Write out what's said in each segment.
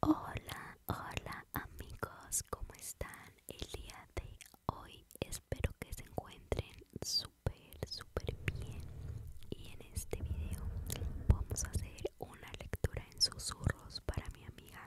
Hola, hola amigos, ¿cómo están? El día de hoy espero que se encuentren súper, súper bien. Y en este video vamos a hacer una lectura en susurros para mi amiga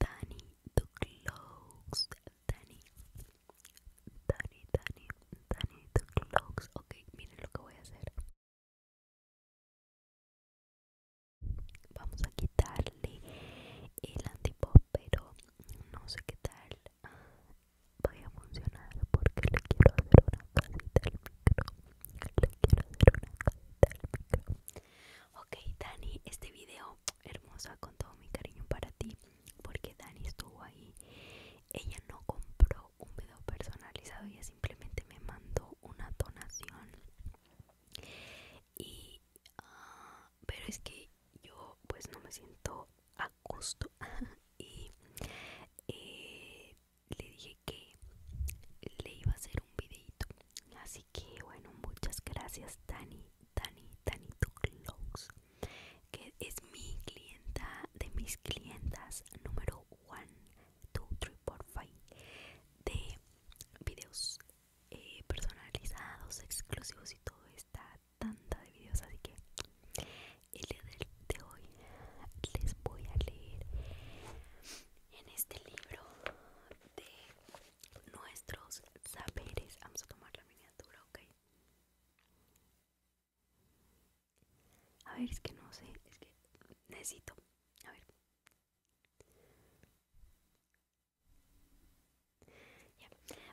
Danny TU Clocks Danny Danny Danny Danny TU Clocks ok miren lo que voy a hacer vamos a quitarle el antipop pero no sé qué tal ah, vaya a funcionar porque le quiero hacer una casita al micro le quiero hacer una casita al micro Ok, Dani, este video hermosa con todo mi cariño para ti, porque Dani estuvo ahí. Ella no compró un video personalizado, ella simplemente me mandó una donación. Y, ah, pero es que yo, pues, no me siento a gusto. y eh, le dije que le iba a hacer un videito así que bueno, muchas gracias Dani, Dani, Dani Tuclox, que es mi clienta de mis clientas número 1, 2, 3, 4, 5 de videos eh, personalizados, exclusivos y todo esta tanda de videos. Así que el día de hoy les voy a leer en este libro de nuestros saberes. Vamos a tomar la miniatura, ok. A ver, es que no sé, es que necesito. A ver. Ya,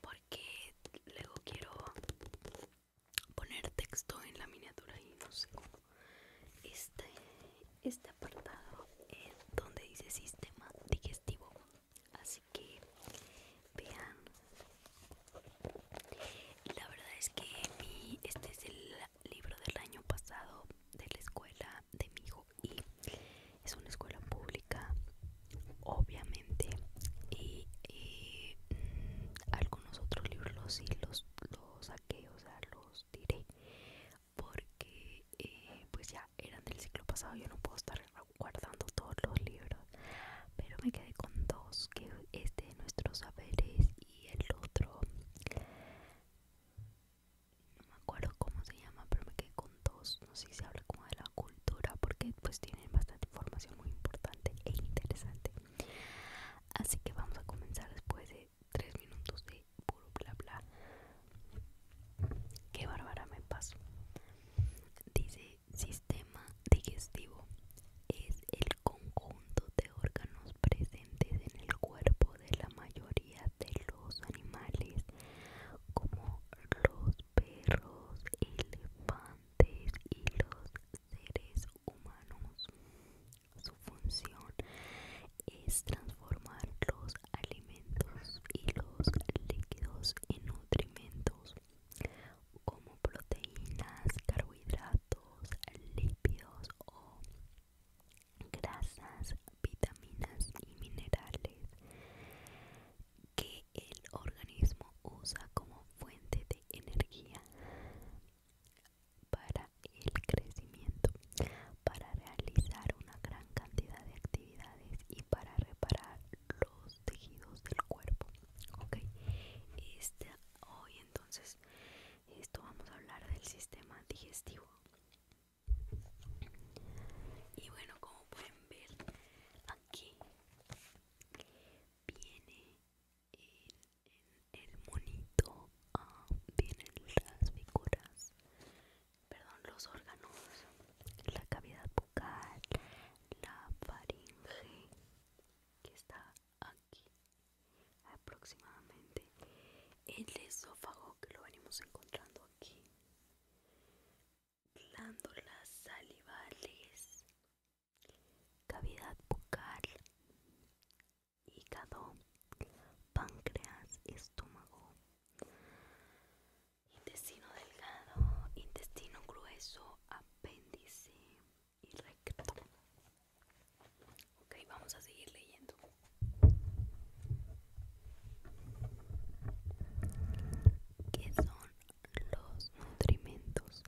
porque luego quiero poner texto en la miniatura y no sé cómo este, este apartado es donde dice sistema digestivo así que vean la verdad es que este es el libro del año pasado de la escuela de mi hijo y es una escuela pública obviamente y, eh, mm, algunos otros libros sí los, los saqué o sea los tiré porque eh, pues ya eran del ciclo pasado yo no puedo estar guardando todos los libros pero me quedé con dos que es este de nuestros saberes y el otro no me acuerdo cómo se llama pero me quedé con dos no sé si se habla como de la cultura porque pues tienen bastante información muy importante e interesante así que vamos a comenzar después de Tres 3 minutos de puro bla bla. Qué bárbara me paso. Dice sistema digestivo es el conjunto de órganos presentes en el cuerpo de la mayoría de los animales como los perros, elefantes y los seres humanos. Su función es transformar los alimentos y los líquidos en nutrimentos como proteínas, carbohidratos, lípidos o grasas, vitaminas y minerales que el organismo usa como fuente de energía para el crecimiento, para realizar una gran cantidad de actividades y para reparar los tejidos del cuerpo. Ok, este, hoy entonces, esto vamos a hablar del sistema digestivo. Y bueno, como pueden ver, aquí viene El en el monito ah, vienen las figuras, perdón, los órganos, la cavidad bucal, la faringe que está aquí aproximadamente, el esófago que lo venimos encontrando aquí, glándulas salivales, cavidad bucal, hígado, páncreas, estómago, intestino delgado, intestino grueso, apéndice y recto. Ok, vamos a seguir leyendo. ¿Qué son los nutrimentos?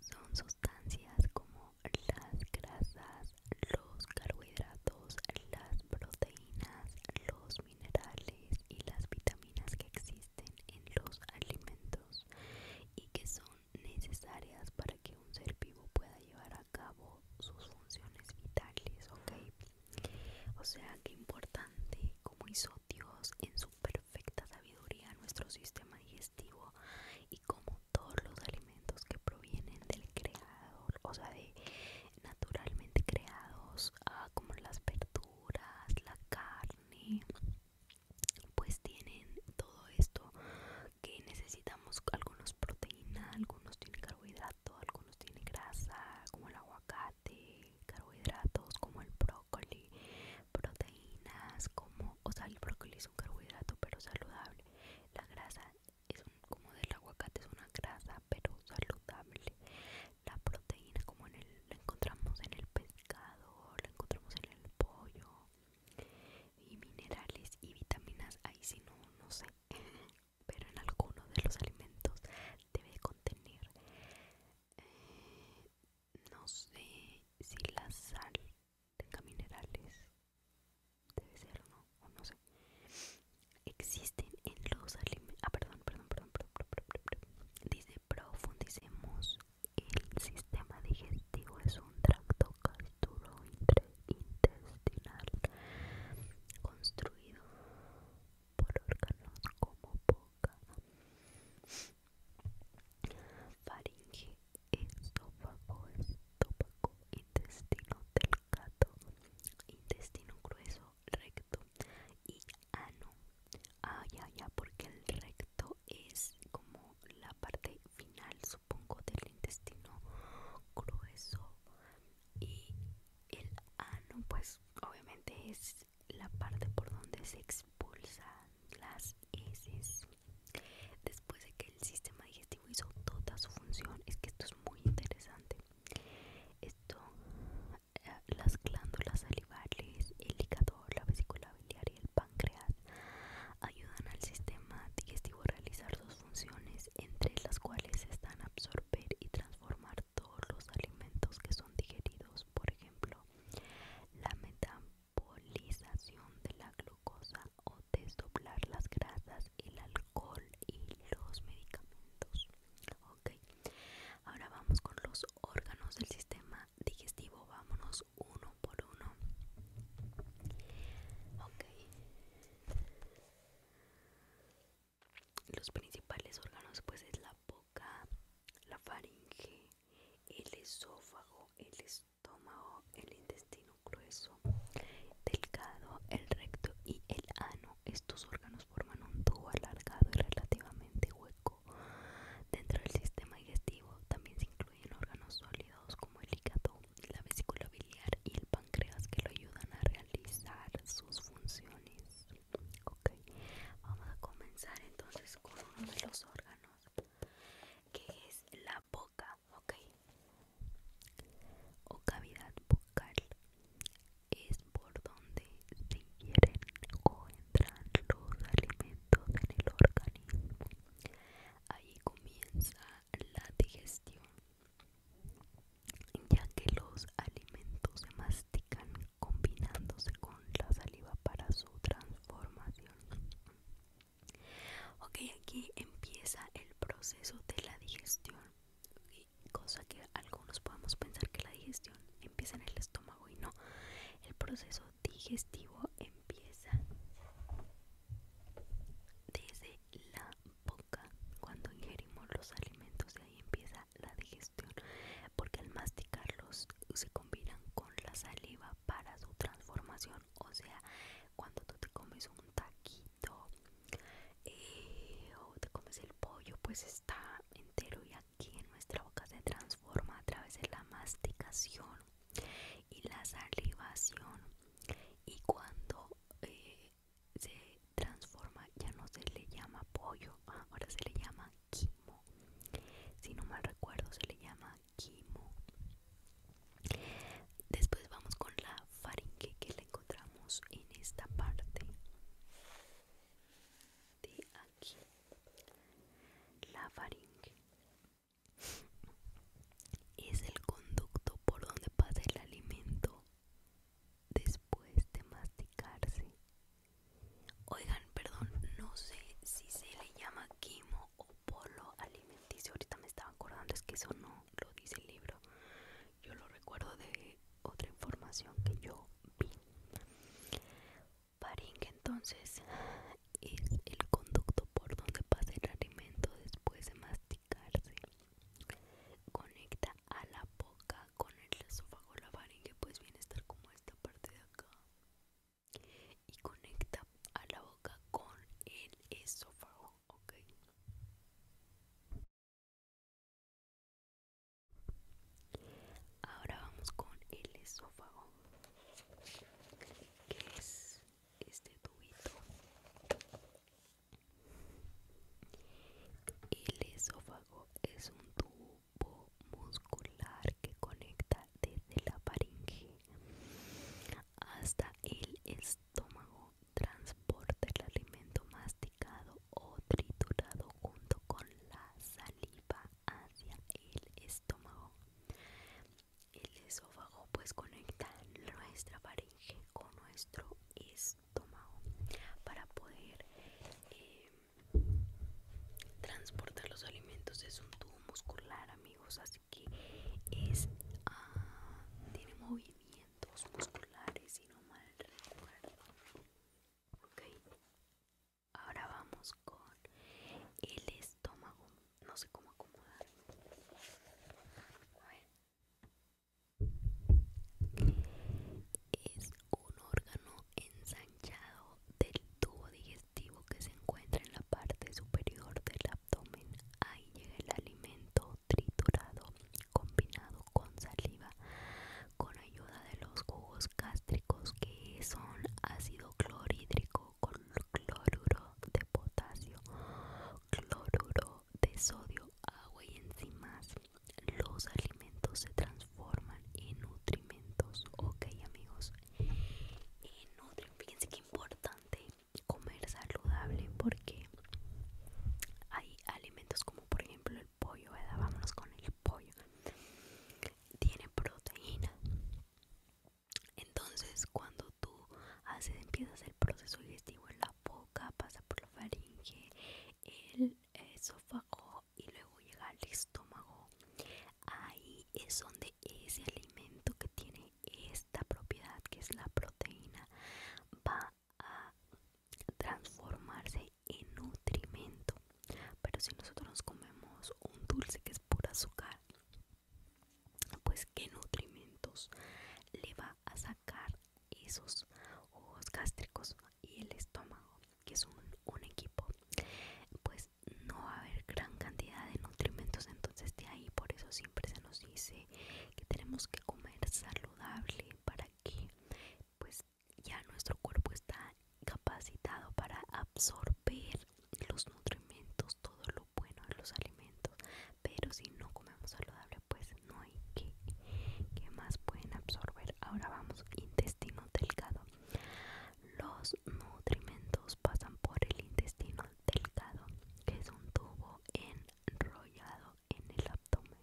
Son sustancias como las grasas, los carbohidratos, las proteínas, los minerales y las vitaminas que existen en los alimentos y que son necesarias para que un ser vivo pueda llevar a cabo sus funciones vitales, ¿ok? O sea, qué importante como hizo Dios en su perfecta sabiduría nuestro sistema digestivo y cómo todos los alimentos que provienen del creador, o sea, de naturalmente creados, ah, como las verduras, la carne, pues tienen todo esto que necesitamos, algunos proteínas, algunos tienen carbohidrato, algunos tienen grasa, como el aguacate, carbohidratos como el brócoli, proteínas como, o sea, el brócoli es un carbohidrato pero saludable la grasa es como del aguacate, es una grasa pero saludable. La proteína como en el, la encontramos en el pescado, la encontramos en el pollo. Y minerales y vitaminas, ahí si no, no sé. Pero en algunos de los alimentos debe contener, eh, no sé si la sal tenga minerales. Debe ser, ¿no? O no sé. Existen en los alimentos... Ah, perdón, perdón, perdón, perdón. Dice, profundicemos. El sistema digestivo es un tracto gastrointestinal construido por órganos como boca, faringe esófago, estómago, intestino delgado, intestino grueso, recto y ano. Ah, ya, ya, porque el recto es como la parte final, supongo, del intestino grueso. Y el ano, pues, obviamente es la parte por donde se expulsan las heces después de que el sistema digestivo hizo toda su función es que esto es muy interesante esto eh, las glándulas salivales el hígado la vesícula biliar y el páncreas ayudan al sistema digestivo a realizar sus funciones entre las cuales están absorber y transformar todos los alimentos que son digeridos por ejemplo la meta de la glucosa o desdoblar las grasas, el alcohol y los medicamentos. Okay. Ahora vamos con los órganos del sistema digestivo. Vámonos uno por uno. Okay. Los principales órganos pues es la boca, la faringe, el esófago, el estómago estómago, el intestino grueso, delgado, el recto y el ano. Estos órganos forman un tubo alargado y relativamente hueco. Dentro del sistema digestivo también se incluyen órganos sólidos como el hígado, la vesícula biliar y el páncreas que lo ayudan a realizar sus funciones. Ok, vamos a comenzar entonces con uno de los órganos que es la boca o cavidad bucal es por donde se ingieren o entran los alimentos en el organismo. Ahí comienza la digestión, ya que los alimentos se mastican combinándose con la saliva para su transformación. Ok, aquí empieza el proceso de la digestión. cosa que algunos podemos pensar que la digestión empieza en el estómago y no. El proceso digestivo empieza desde la boca. Cuando ingerimos los alimentos, Y ahí empieza la digestión. Porque al masticarlos se combinan con la saliva para su transformación o sea cuando tú te comes un taquito eh, o te comes el pollo pues está entero y aquí en nuestra boca se transforma a través de la masticación y la salivación y cuando eh, se transforma ya no se le llama pollo ahora se le llama quimo si no mal recuerdo se le llama quimo. Después vamos con la faringe que la encontramos en esta parte de aquí. La faringe es el conducto por donde pasa el alimento después de masticarse. Oigan, perdón, no sé si se le llama quimo o polo alimenticio. Ahorita me estaba acordando, es que eso no lo dice el libro. Yo lo recuerdo de otra información que yo vi. faringe entonces es el conducto por donde pasa el alimento después de masticarse. Conecta a la boca con el esófago la faringe, pues viene a estar como esta parte de acá y conecta a la boca con el esófago, ok. Ahora vamos con el esófago, que es este tubito. El esófago es un tubo muscular que conecta desde la faringe hasta el estómago transporta el alimento masticado o triturado junto con la saliva hacia el estómago el esófago pues conecta nuestra faringe con nuestro estómago para poder eh, transportar los alimentos es un tubo muscular amigo así que es ah, tiene movimientos musculares Y no mal recuerdo ok ahora vamos con el estómago no sé cómo acomodar es un órgano ensanchado del tubo digestivo que se encuentra en la parte superior del abdomen. Ahí llega el alimento triturado combinado con saliva con ayuda de los jugos gástricos que son ácido clorhídrico con cloruro de potasio, cloruro de sodio, agua y enzimas. Los alimentos se transforman en nutrimentos. Ok amigos, y Fíjense que importante comer saludable porque hay alimentos como por ejemplo el pollo, ¿verdad? Vámonos con el pollo. Tiene proteína. Entonces cuando tú haces, empiezas el proceso digestivo en la boca, pasa por la faringe, el esófago y luego llega al estómago Ahí es donde ese alimento que tiene esta propiedad, que es la proteína, va a transformarse en nutrimento. Pero si nosotros nos comemos un dulce que es pura azúcar, pues qué nutrimentos le va a sacar esos ojos gástricos y el estómago, que es un, un equipo. Pues pues, no va a haber gran cantidad de nutrimentos entonces de ahí por eso siempre se nos dice que tenemos que comer saludable para que pues ya nuestro cuerpo está capacitado para absorber los nutrimentos todo lo bueno de los alimentos pero si no comemos saludable pues no hay que más pueden absorber ahora vamos intestino delgado los nutrimentos pasan por el intestino delgado, que es un tubo enrollado en el abdomen.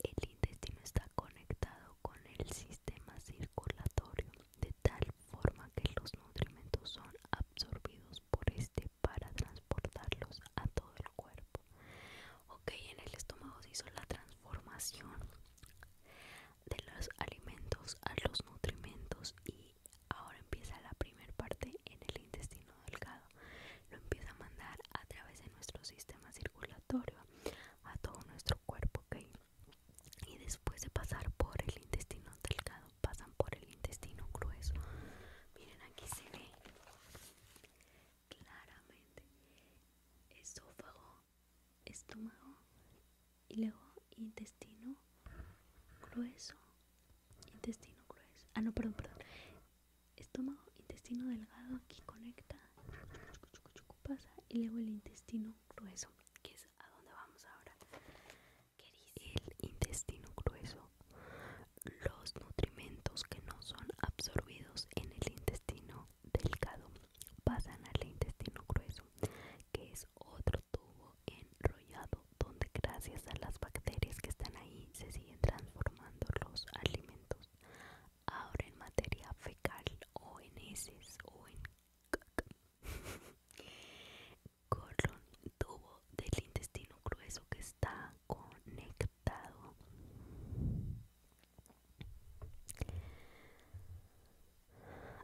El intestino está conectado con el sistema circulatorio de tal forma que los nutrientes son absorbidos por este para transportarlos a todo el cuerpo. Ok, en el estómago se hizo la transformación de los alimentos a los nutrimentos y ahora empieza la primera parte en el intestino delgado. Lo empieza a mandar a través de nuestro sistema circulatorio a todo nuestro cuerpo, ¿ok? Y después de pasar por el intestino delgado, pasan por el intestino grueso. Miren, aquí se ve claramente esófago, estómago y luego intestino grueso, intestino grueso. Ah, no, perdón, perdón. Estómago, intestino delgado, aquí conecta, pasa y luego el intestino grueso, que es a donde vamos ahora. El intestino grueso. Los nutrimentos que no son absorbidos en el intestino delgado pasan al intestino grueso, que es otro tubo enrollado donde gracias a las bacterias que están ahí se siguen transformando los alimentos. Ahora en materia fecal o en heces o en colon, tubo del intestino grueso que está conectado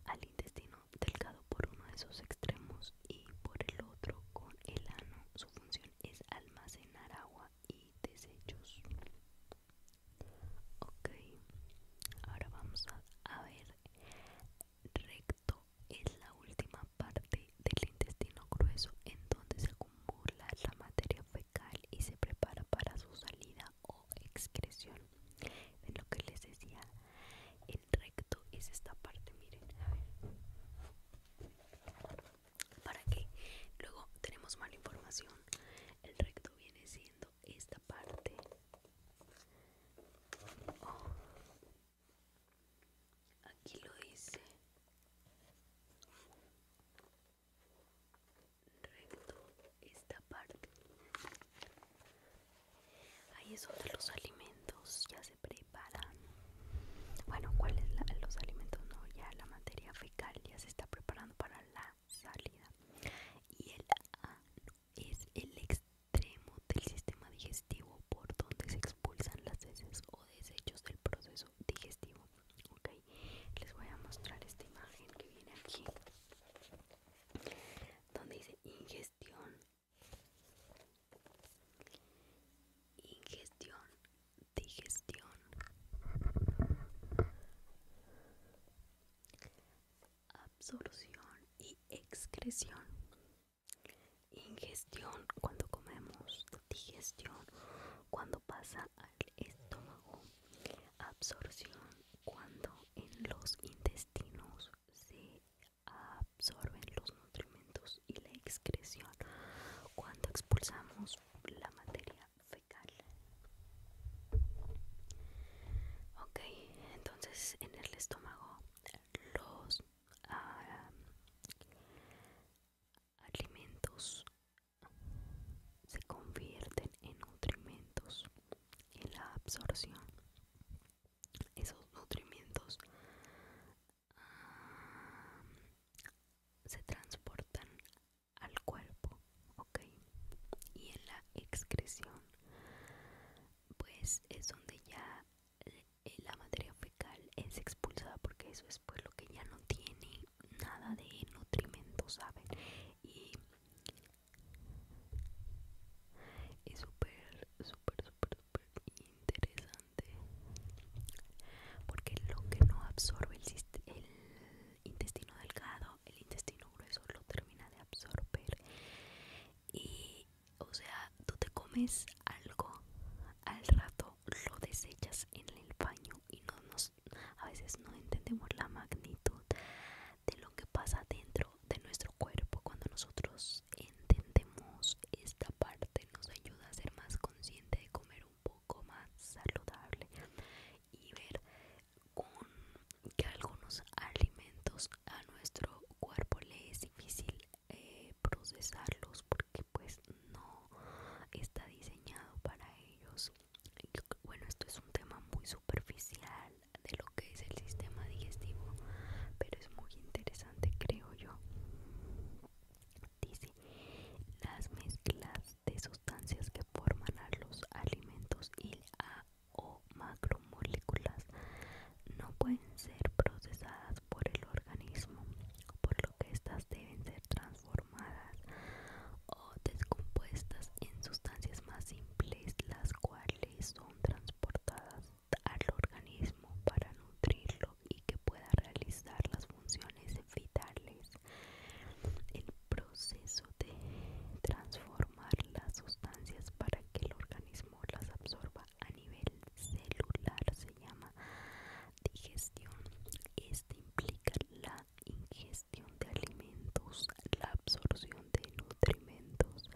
al intestino delgado por uno de sus extremos y por el otro con el ano. Su función es almacenar agua y desechos. Ok, ahora vamos a, ver. Recto es la última parte del intestino grueso en donde se acumula la materia fecal y se prepara para su salida o excreción de lo que les decía el recto es esta parte miren a ver para que luego tenemos mala información el recto viene siendo esta parte oh. aquí lo dice recto esta parte ahí es donde los alimentos ya se preparan bueno cuáles los alimentos no ya la materia fecal ya se está preparando para la salida y el A es el extremo del sistema digestivo por donde se expulsan las heces o desechos del proceso digestivo ok les voy a mostrar esta imagen que viene aquí donde dice ingestión ingestión digestión absorción y excreción ingestión cuando comemos digestión cuando pasa al estómago absorción cuando en los intestinos se absorben los nutrimentos y la excreción cuando expulsamos la materia fecal ok entonces en el estómago los ah, alimentos se convierten en nutrimentos en la absorción. Esos nutrimentos ah, se transportan al cuerpo, ¿ok? Y en la excreción, pues es donde ya eh, la materia fecal es expulsada porque eso es pues lo que ya no tiene nada de nutrimento ¿saben? Y es súper, súper, súper, súper interesante. Porque lo que no absorbe el, el intestino delgado, el intestino grueso lo termina de absorber. Y, o sea, tú te comes algo, al rato lo desechas en el baño y no nos a veces no entendemos la magnitud de lo que pasa dentro de nuestro cuerpo. Cuando nosotros entendemos esta parte nos ayuda a ser más consciente de comer un poco más saludable y ver que algunos alimentos a nuestro cuerpo le es difícil eh, procesarlos porque pues no está diseñado para ellos bueno, esto es un tema muy superficial de lo que es el sistema digestivo, pero es muy interesante, creo yo. Dice, las mezclas de sustancias que forman a los alimentos y a o macromoléculas no pueden ser procesadas por el organismo, por lo que estas deben ser transformadas o descompuestas en sustancias más simples, las cuales son transportadas al organismo para nutrirlo y que pueda realizar las funciones vitales. El proceso de transformar las sustancias para que el organismo las absorba a nivel celular se llama digestión implica la ingestión de alimentos, la absorción de nutrimentos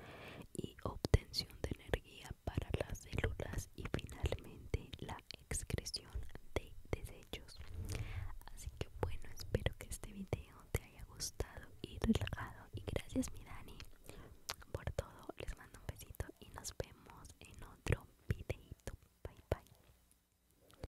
y obtención de energía para las células y finalmente la excreción de desechos. Así que bueno, espero que este video te haya gustado y relajado y gracias mi Dani por todo. Les mando un besito y nos vemos en otro videito. Bye bye.